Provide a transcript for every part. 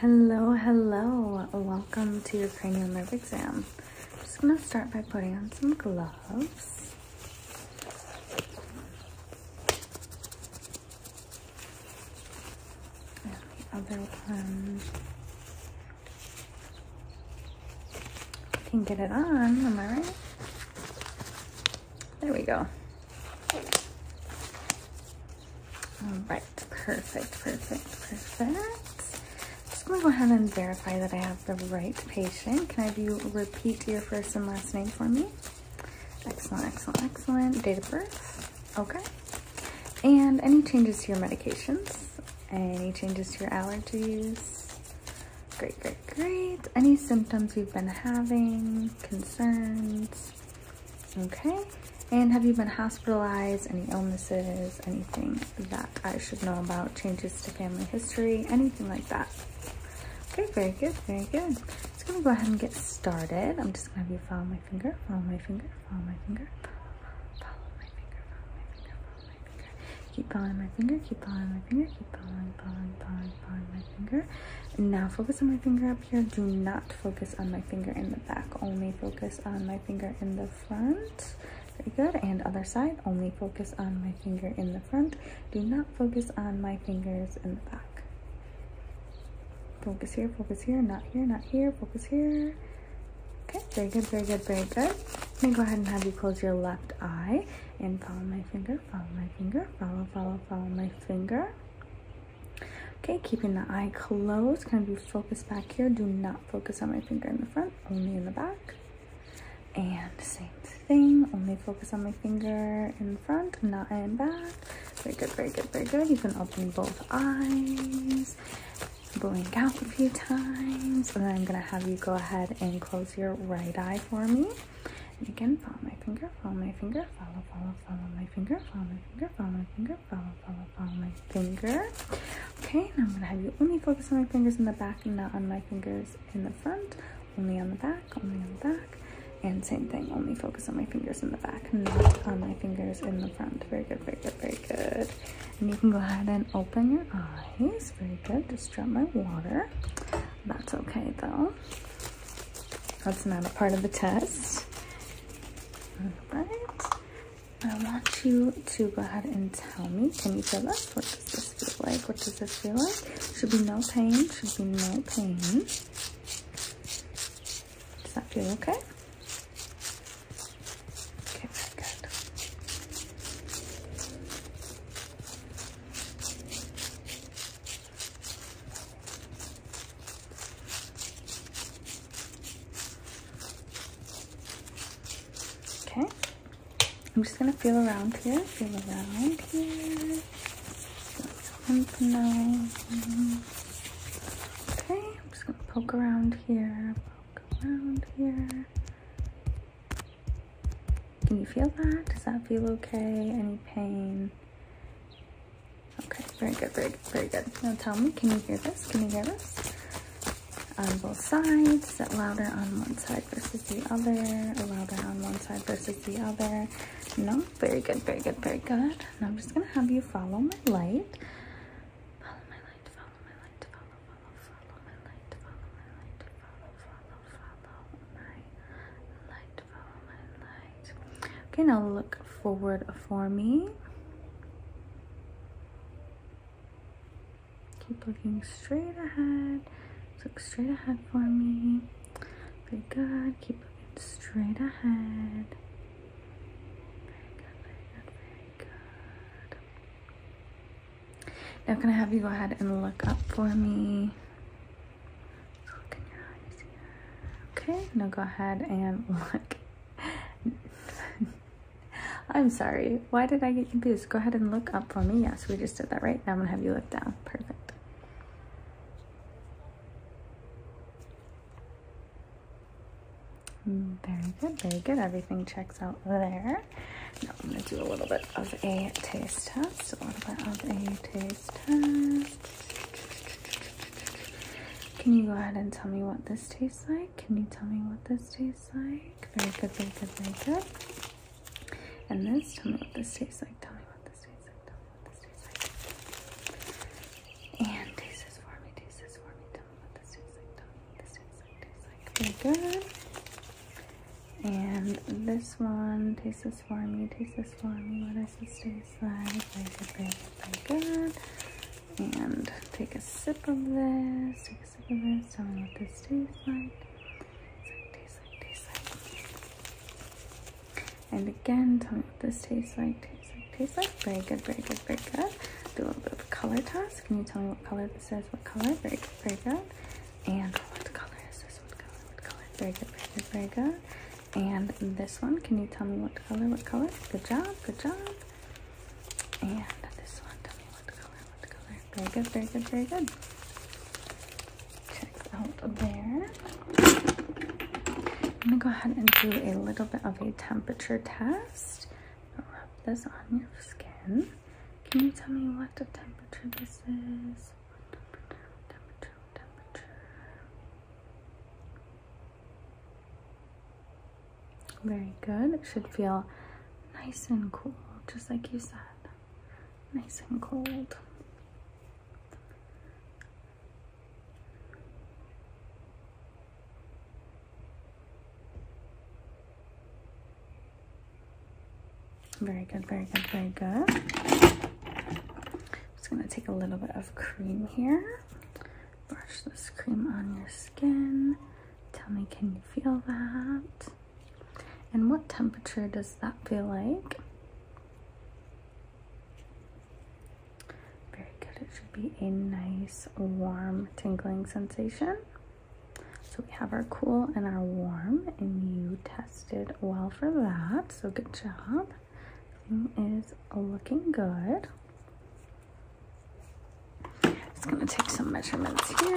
Hello, hello. Welcome to your cranial nerve exam. I'm just going to start by putting on some gloves. other one. I can get it on, am I right? There we go. All right, perfect, perfect, perfect. Just gonna go ahead and verify that I have the right patient. Can I do repeat your first and last name for me? Excellent, excellent, excellent. Date of birth, okay. And any changes to your medications? Any changes to your allergies? Great, great, great. Any symptoms you've been having, concerns? Okay. And have you been hospitalized? Any illnesses? Anything that I should know about? Changes to family history? Anything like that? Okay, very good, very good. Just gonna go ahead and get started. I'm just gonna have you follow my finger, follow my finger, follow my finger. Keep following my finger, keep following my finger, keep following, following, following, following my finger. now focus on my finger up here. Do not focus on my finger in the back only focus on my finger in the front very good and other side only focus on my finger in the front do not focus on my fingers in the back focus here focus here not here not here focus here okay very good very good very good I'm gonna go ahead and have you close your left eye and follow my finger follow my finger follow follow follow my finger Okay, keeping the eye closed, gonna be focused back here. Do not focus on my finger in the front, only in the back. And same thing, only focus on my finger in front, not in back. Very good, very good, very good. You can open both eyes, blink out a few times, and then I'm gonna have you go ahead and close your right eye for me. And again, follow my finger, follow my finger, follow, follow, follow my finger, follow my finger, follow my finger finger. Follow, follow, follow my finger. Okay, and I'm gonna have you only focus on my fingers in the back and not on my fingers in the front. Only on the back, only on the back. And same thing, only focus on my fingers in the back, not on my fingers in the front. Very good, very good, very good. And you can go ahead and open your eyes. Very good, just drop my water. That's okay though. That's not a part of the test. All right. I want you to go ahead and tell me, can you feel this? What does this feel like? What does this feel like? Should be no pain, should be no pain. Does that feel okay? Okay, good. Okay. I'm just gonna feel around here. Feel around here. Lymph Okay, I'm just gonna poke around here. Poke around here. Can you feel that? Does that feel okay? Any pain? Okay, very good, very good, very good. Now tell me, can you hear this? Can you hear this? On both sides, is it louder on one side versus the other? Or louder on one side versus the other? No? Very good, very good, very good. I'm just gonna have you follow my light. Follow my light, follow my light, follow, follow, follow my light, follow my light, follow, follow, follow my light, follow my light. Okay, now look forward for me. Keep looking straight ahead. look straight ahead for me. Very good. Keep looking straight ahead. Very good, very good, very Now can I have you go ahead and look up for me? Look in your eyes here. Okay, now go ahead and look I'm sorry. Why did I get confused? Go ahead and look up for me. Yes, we just did that, right? Now I'm going to have you look down. Perfect. Mm, very good, very good. Everything checks out there. Now I'm going to do a little bit of a taste test. A little bit of a taste test. Can you go ahead and tell me what this tastes like? Can you tell me what this tastes like? Very good, very good, very good. And this, tell me what this tastes like. Tell me what this tastes like. Tell me what this tastes like. taste this for me. Taste this for me. Very good. And this one, taste this for me. Taste this for me. What does this taste very good, And take a sip of this. Take a sip of this. Tell me what this tastes like. Tastes like, tastes like, tastes like. And again, tell me what this tastes like. Tastes like, tastes like. Very good, very good, very good. Do a little bit of a color toss. Can you tell me what color this is? What color? Very good, very good. And what color is this? What color? What color? Very good, very good, very good. And this one, can you tell me what color, what color? Good job, good job. Very good, very good, very good. Checks out there. I'm gonna go ahead and do a little bit of a temperature test. Rub this on your skin. Can you tell me what the temperature this is? Very good. It should feel nice and cool, just like you said. Nice and cold. Very good, very good, very good. just gonna take a little bit of cream here brush this cream on your skin. Tell me, can you feel that? And what temperature does that feel like? Very good. It should be a nice, warm, tingling sensation. So we have our cool and our warm, and you tested well for that. So good job. Everything is looking good. It's gonna take some measurements here.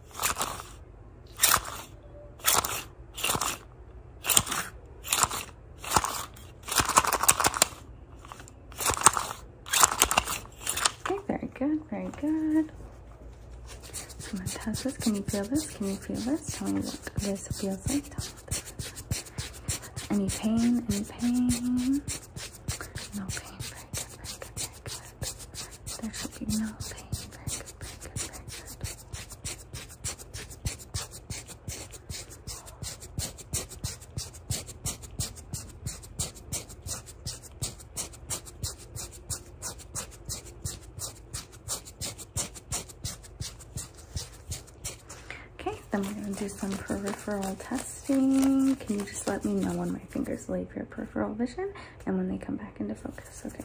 Okay, very good, very good. I'm gonna touch this. Can you feel this? Can you feel this? Tell me what this feels like. Any pain? Any pain? No pain. very good, very good. Okay, then we're going to do some peripheral testing. Can you just let me know when my fingers leave your peripheral vision and when they come back into focus? Okay.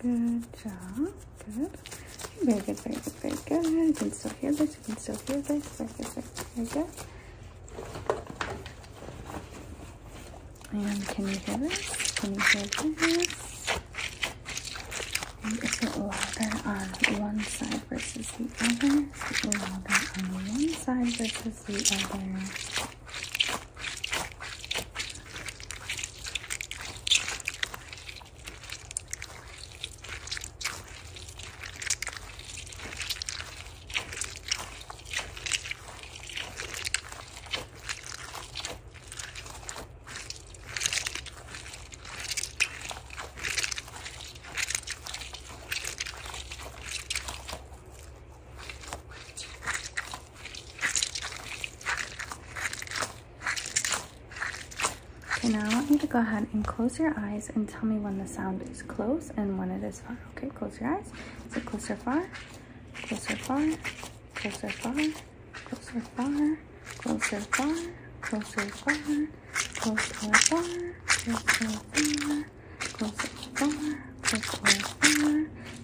Good job. Good. Very good, very good, very good. You can still hear this. You can still hear this. Very good. And can you hear this? Can you hear this? And it's louder on one side versus the other. louder on one side versus the other. Okay, now I want you to go ahead and close your eyes and tell me when the sound is close and when it is far. Okay, close your eyes. Is it closer far? Closer far? Closer far? Closer far? Closer far? Closer far? close or far, close or far, close or far,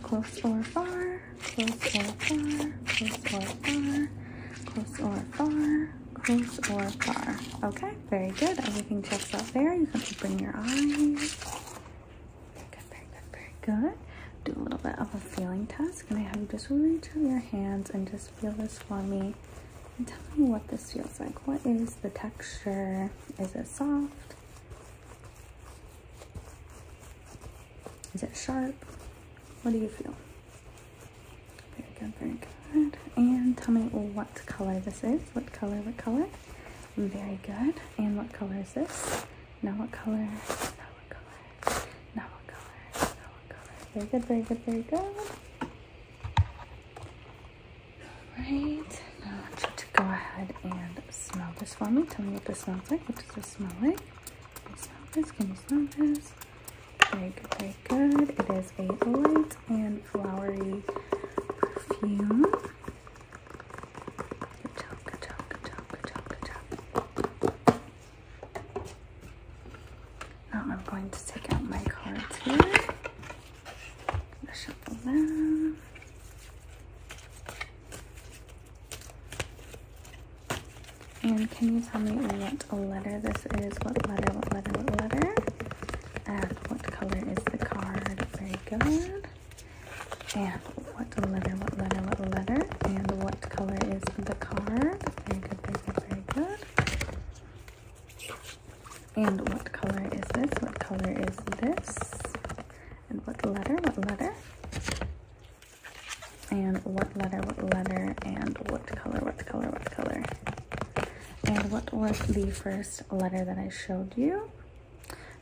close or far, close or far, close or far, close or far, close or far, close or far. Okay, very good. Everything checks out there. You can open your eyes. Good, very good, very good. Do a little bit of a feeling test. Can I have you just reach out your hands and just feel this for me tell me what this feels like. What is the texture? Is it soft? Is it sharp? What do you feel? Very good, very good. And tell me what color this is. What color, what color? Very good. And what color is this? Now what color? Now what color? Very good, very good, very good. Alright, now I want you to go ahead and smell this for me. Tell me what this smells like. What does this smell like? Can you smell this? Can you smell this? Very good, good. It is a light and flowery perfume. Good job, good job, good job, good job, good job. Now I'm going to take out my cards here. Shuffle them. And can you tell me what letter this is? What letter, what letter, what letter? And what color is the card? Very good. And what letter, what letter, what letter? And what color is the card? Very good, very good, very good. And what color is this? What color is this? And what letter? What letter? And what letter? What letter? And what color? What color? What color? And what was the first letter that I showed you?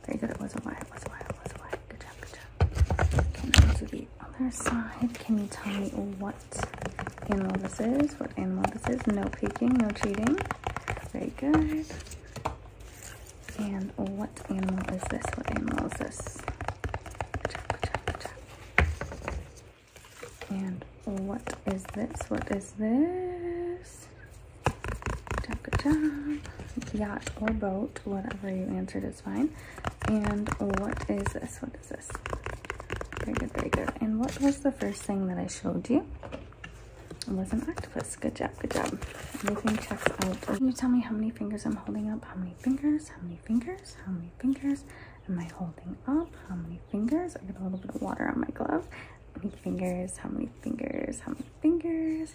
Very good. It was a Y. It was a Y. It was a Y. Good job. Good job. Okay, to the other side. Can you tell me what what animal this is, what animal this is. No peeking, no cheating. Very good. And what animal is this? What animal is this? And what is this? What is this? Good job, Yacht or boat, whatever you answered is fine. And what is this? What this? Very good, very good. And what was the first thing that I showed you? It was an octopus. Good job, good job. Everything checks out. Can you tell me how many fingers I'm holding up? How many fingers? How many fingers? How many fingers am I holding up? How many fingers? I got a little bit of water on my glove. How many fingers? How many fingers? How many fingers?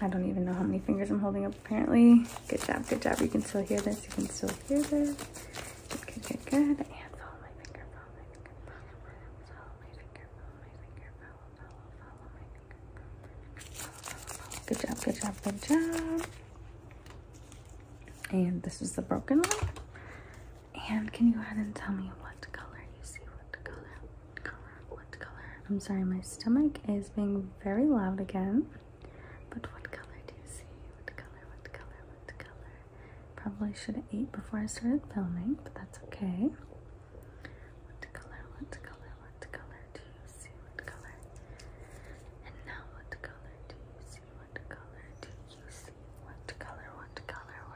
I don't even know how many fingers I'm holding up apparently. Good job, good job. You can still hear this, you can still hear this. Good, good, good, And follow my finger, follow my finger, follow my finger, follow my finger, follow my finger, follow, follow, follow my finger, Good job, good job, good job. And this is the broken one. And can you go ahead and tell me what color you see, what color? color? What color? I'm sorry, my stomach is being very loud again. But what color do you see? What color? What color? What color? Probably should have ate before I started filming, but that's okay. What color? What color? What color do you see? What color? And now, what color do you see? What color do you see? What color? What color? What color? What color?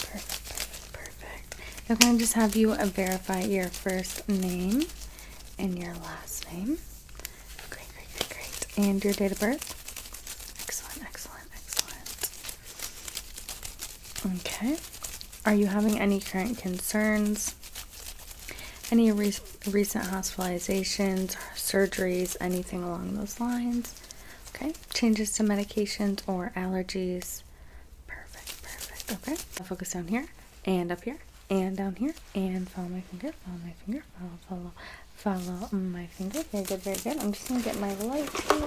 Perfect, perfect, perfect. I'm going to just have you uh, verify your first name and your last name. Great, great, great, great. And your date of birth. Excellent, excellent, excellent. Okay. Are you having any current concerns? Any recent hospitalizations, surgeries, anything along those lines? Okay. Changes to medications or allergies? Perfect, perfect. Okay, I'll focus down here and up here and down here and follow my finger, follow my finger, follow, follow, follow my finger. Very good, very good. I'm just gonna get my light here.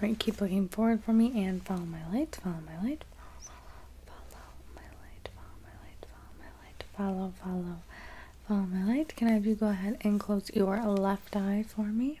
Right, keep looking forward for me and follow my light, follow my light, follow my light, follow my light, follow my light, follow, follow, follow my light. Can I have you go ahead and close your left eye for me?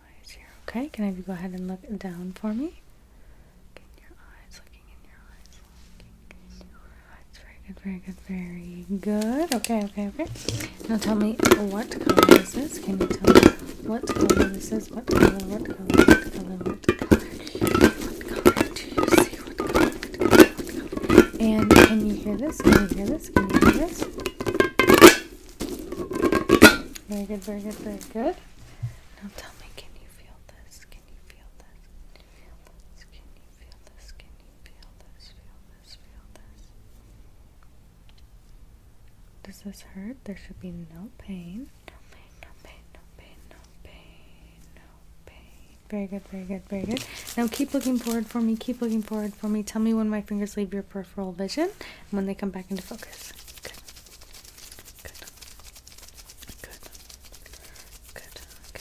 Okay, can I have you go ahead and look down for me? your eyes, looking in your eyes, looking Very good, very good, very good. Okay, okay, okay. Now tell me what color this is. Can you tell me what color this is? What color, what color, what color, what color? do you see? what color, what color? And can you hear this? Can you hear this? Can you hear this? Very good, very good, very good. Now tell me, can you feel this? Can you feel this? Can you feel this? Can you feel this? Can you feel this? Feel this? Feel this? Does this hurt? There should be no pain. No pain, no pain, no pain, no pain, Very good, very good, very good. Now keep looking forward for me. Keep looking forward for me. Tell me when my fingers leave your peripheral vision. And when they come back into focus. Good. Good. Good. Good.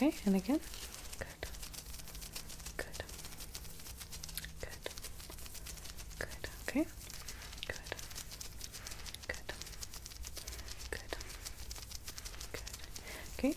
Okay, and again. Good. Good. Good. Good. Okay. Good. Good. Good. Good. Okay. Good. Good.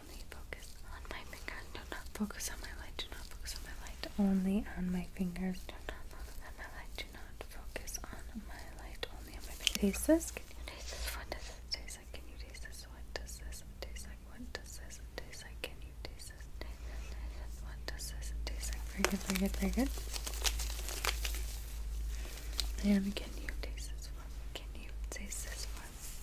only focus on my fingers. Do not focus on my light. Do not focus on my light. Only on my fingers. Do not focus on my light. Do not focus on my light. Only on my fingers. Taste this? Can you taste this? What does this taste like? Can you taste this? What does this taste like? What does this taste like? Can you taste this? Taste this, taste this. What does this taste like? Very good, very good, very good. And can you taste this one? Can you taste this one?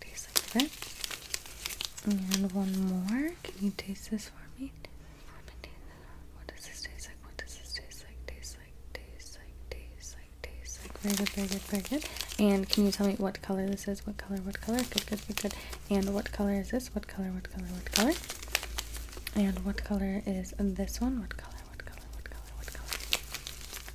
taste a little bit. And one more. Can you taste this for me? What does this taste like? What does this taste like? Taste like, taste like, taste like, taste like. Very good, very good, very good. And can you tell me what color this is? What color, what color? Good, good, good, good. And what color is this? What color, what color, what color? And what color is this one? What color, what color, what color, what color?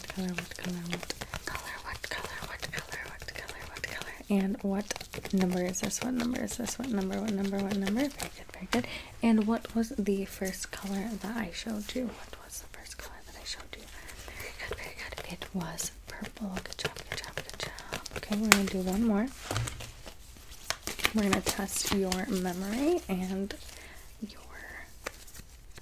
what color, what color, what color, what color, what color, what color, what color, and what number is this? What number is this? What number, what number, what number? Very good, very good. And what was the first color that I showed you? What was the first color that I showed you? Very good, very good. It was purple. Good job, good job, good job. Okay, we're gonna do one more. We're gonna test your memory and your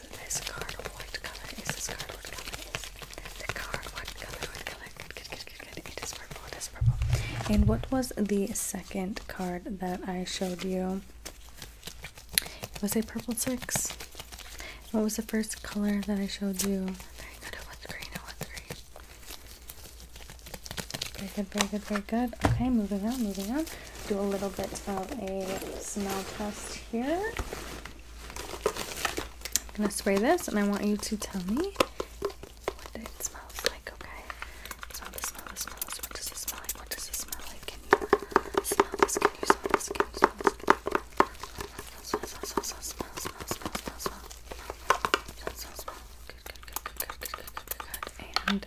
is this card? What color is this card? What color the card? What color? What color? good, good, good, good. It is purple. It is purple. And what was the second card that I showed you? It was a purple six. What was the first color that I showed you? Very good. It was green. It was green. Very good, very good, very good. Okay, moving on, moving on do a little bit of a smell test here. I'm gonna spray this, and I want you to tell me what it smells like. Okay, smell this, smell smell this. What does it smell like? What does it smell like? Can you smell this? Can you smell this? Can you smell this? Good, good, good, good, good, good, good, And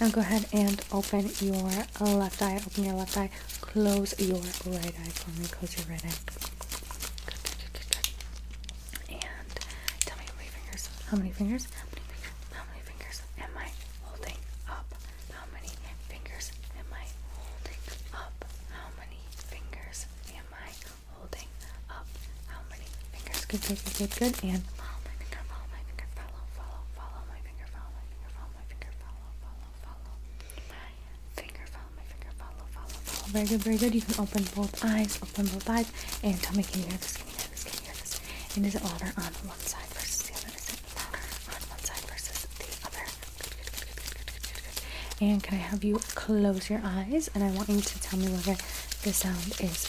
now go ahead and open your left eye. Open your left eye. Close your right eye for me. Close your right eye. Good, good, good, good, good. And tell me how many fingers. How many fingers? How many fingers am I holding up? How many fingers am I holding up? How many fingers am I holding up how many fingers. Good, good, good, good, good. And follow follow follow, follow, follow my finger, follow my finger, follow my follow, follow, follow my finger, follow my finger, follow, follow, follow. Very good, very good. You can open both eyes, open both eyes, and tell me, can you hear this? Can you hear this? Can you hear this? And is it louder on one side versus the other? Is it louder on one side versus the other? Good, good, good, good, good, good, good, good. And can I have you close your eyes? And I want you to tell me whether the sound is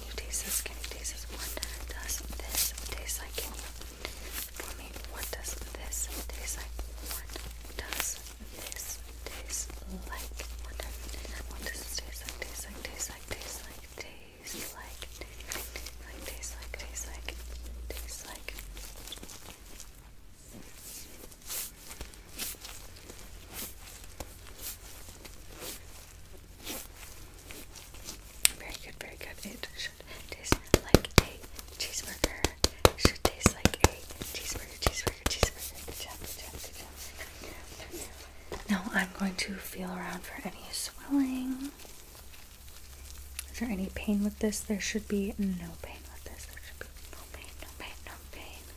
can you taste this? Can you taste this? What does this taste like? Can you for me? What does this taste like? What does this taste like? What does what does this taste like? Taste like taste like taste like taste like taste like taste like taste like taste like very good, very good. It should taste like a cheeseburger. It should taste like a cheeseburger, cheeseburger, cheeseburger. Good Now I'm going to feel around for any swelling. Is there any pain with this? There should be no pain with this. There should be no pain, no pain, no pain.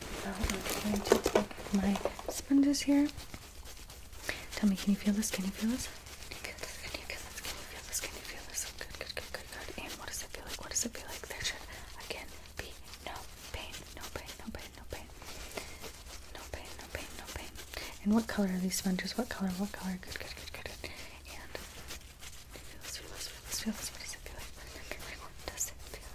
So oh, I'm going to take my sponges here. Tell me, can you feel this? Can you feel this? Can you feel this? Can you feel this? Can you feel this? Can you feel this? Good, good, good, good, good. And what does it feel like? What does it feel like? There should again be no pain, no pain, no pain, no pain, no pain, no pain, no pain. And what color are these sponges? What color? What color? Good, good, good, good, good. And feel this, feel this, feel this, feel this. What does it feel like? What does it feel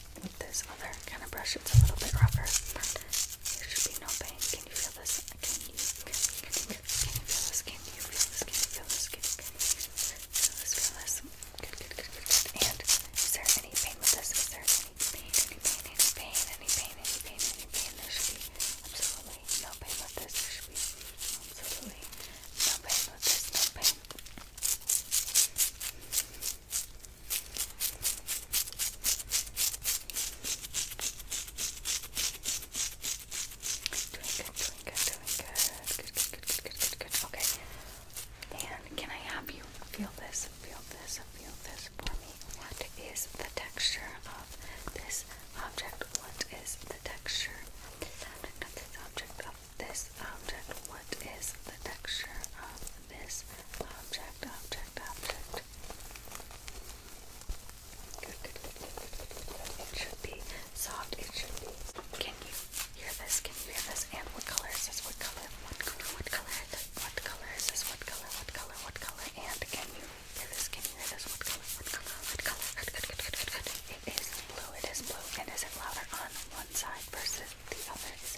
with this other kind of brush, it's a little bit rougher, but there should be no pain. Can you feel this? Can you, can, can, can, can you feel this? Can you feel this? Can you feel this? Can you feel this? Feel this, feel this. Good, good, good, good, good. And is there any pain with this? Is there any pain, any pain, any pain, any pain, any pain, any pain? There should be absolutely no pain with this. There should be absolutely no pain with this, no pain. Doing good, doing good, doing good. Good, good, good, good, good, good. Okay. And can I have you feel this, feel this, feel this for me? What is the texture of this object? What is the texture of this object? Of this object, of this object? What is the texture of this object, object, object. It should be soft. It should be. Can you hear this? Can you hear this? And what color is this? What color? What color? What color? What color is this? What color? What color? What color? And can you hear this? Can you hear this? What color? What color? What color? It is blue. It is blue. And is it louder on one side versus the other? Is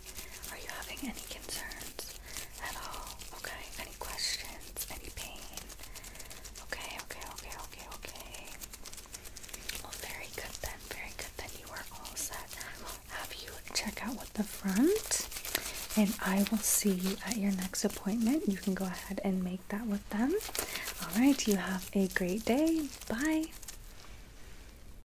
Are you having any concerns at all? Okay, any questions? Any pain? Okay, okay, okay, okay, okay. Well, very good then, very good then. You are all set. I will have you check out with the front, and I will see you at your next appointment. You can go ahead and make that with them. All right, you have a great day. Bye.